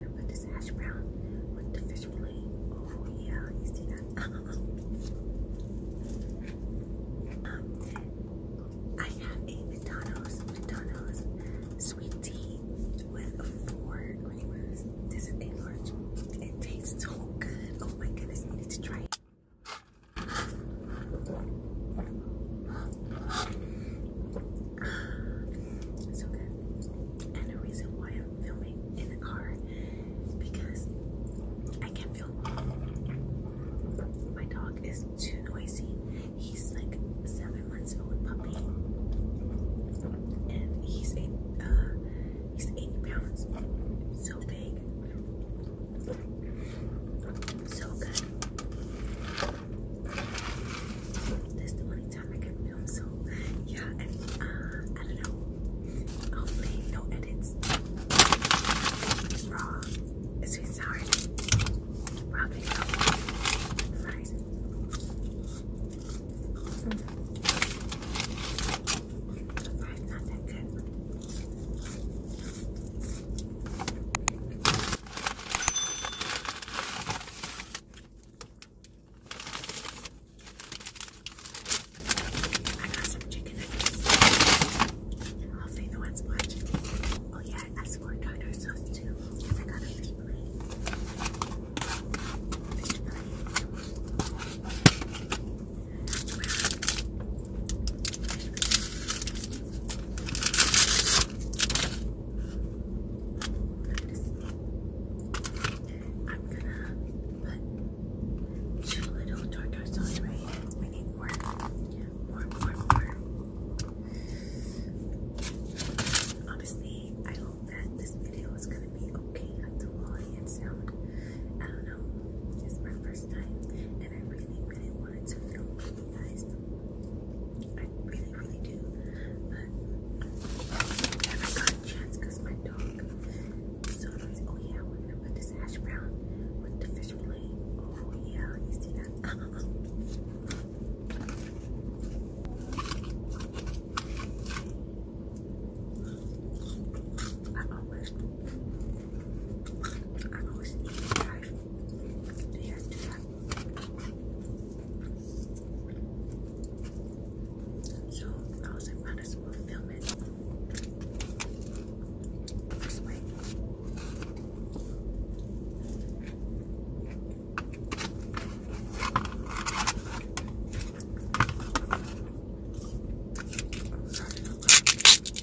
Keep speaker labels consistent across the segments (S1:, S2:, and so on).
S1: But this hash brown with the fish fillet. Oh yeah, you see that? Um, I have a McDonald's McDonald's sweet tea with four creamers. This is a It tastes so good. Oh my goodness, I need to try it. And the reason why I'm filming in the car is because I can't film. My dog is too noisy. He's like seven months old puppy, and he's Uh, he's eight pounds. So big. So good. That's the only time I can film, so yeah, uh, I don't know. Hopefully, no edits. It's raw, sweet sour, raw video, not that good. I got some chicken nuggets. I'll see the ones watching. Oh yeah, I scored tartar sauce too. Cause I got a fish plate. Fish plate. Wow. I'm gonna put two little tartar sauce right. need more. More, more, more. Obviously, I hope that this video is gonna be okay at the quality I don't know. It's my first time and I really, really wanted to film guys. I really, really do. But I got a chance my dog so nice. Oh, yeah, we're gonna put this hash brown with the fish fillet. Oh, yeah, you see that? I always, I always eat that hard. Do you guys do that? So I was like, might as well film it this way. Oh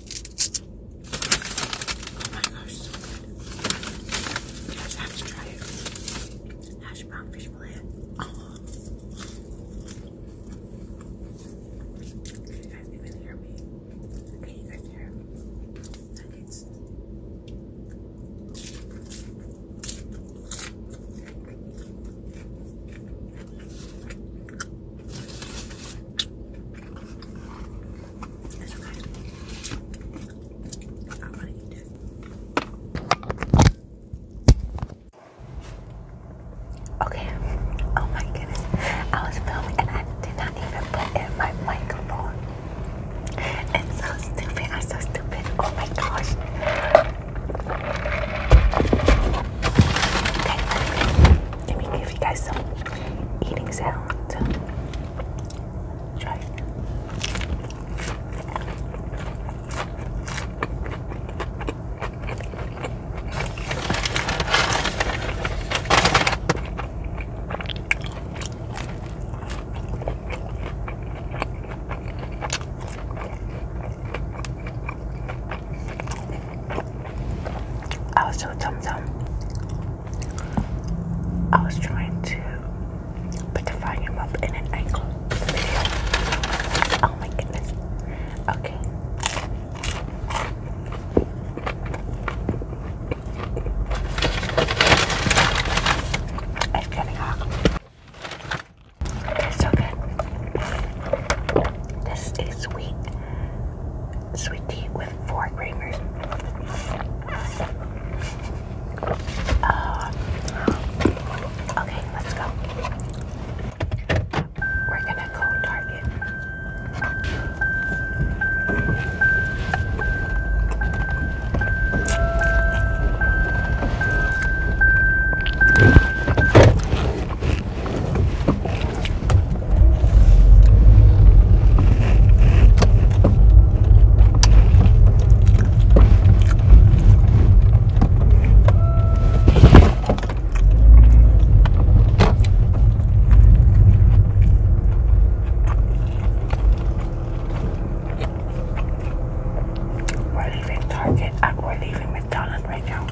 S1: my gosh, Hash brown fish fillet. Oh. you guys hear me? Can you guys hear nuggets? It's okay. Okay. Oh my goodness. I was filming and I did not even put in my microphone. It's so stupid. I'm so stupid. Oh my gosh. Okay. Let me give you guys some eating sounds. Try also, Tum Tum, I was trying to put the volume up in an angle. Oh my goodness. Okay. It's getting hot. It's so good. This is sweet, sweet tea with four creamers. Uh, okay, let's go. We're gonna go Target. We're leaving Target and we're leaving McDonald's right now.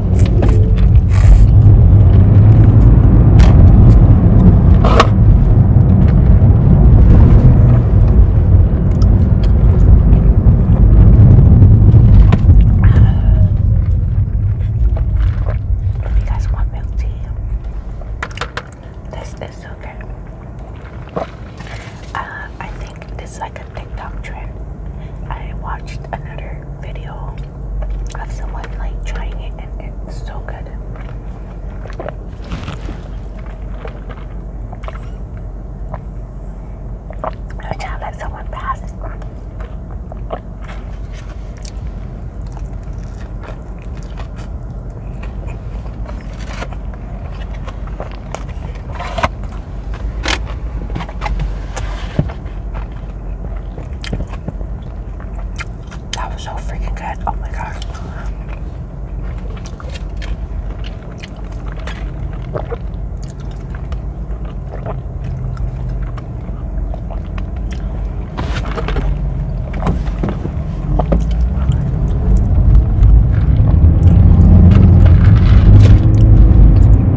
S1: If you guys want milk tea, this is okay. Uh, I think this is like a TikTok trend. I watched another video of someone like trying it and it's so good. I try let someone pass. That was so freaking good. Oh my god.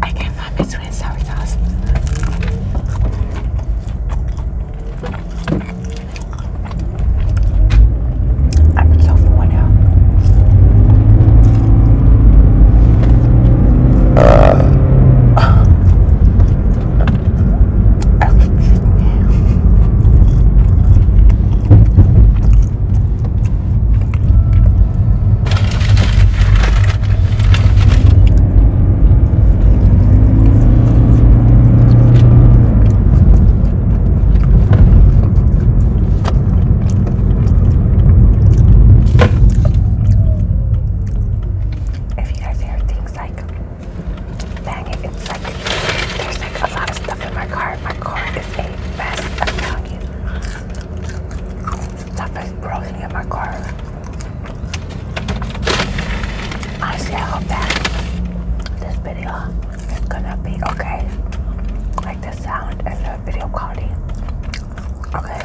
S1: I can't find my sweet sour sauce. I'm so worn out. Uh. If you guys hear things like Dang it, it's like there's like a lot of stuff in my car. My car is a mess, I'm telling you. Stuff is broken in my car. Honestly, I hope that this video is gonna be okay. Like the sound and the video quality. Okay.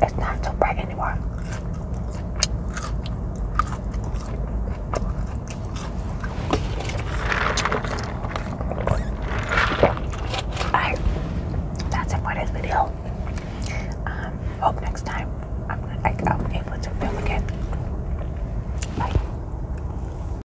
S1: It's not so bright anymore. Alright, that's it for this video. Um, hope next time I'm, I'm able to film again. Bye.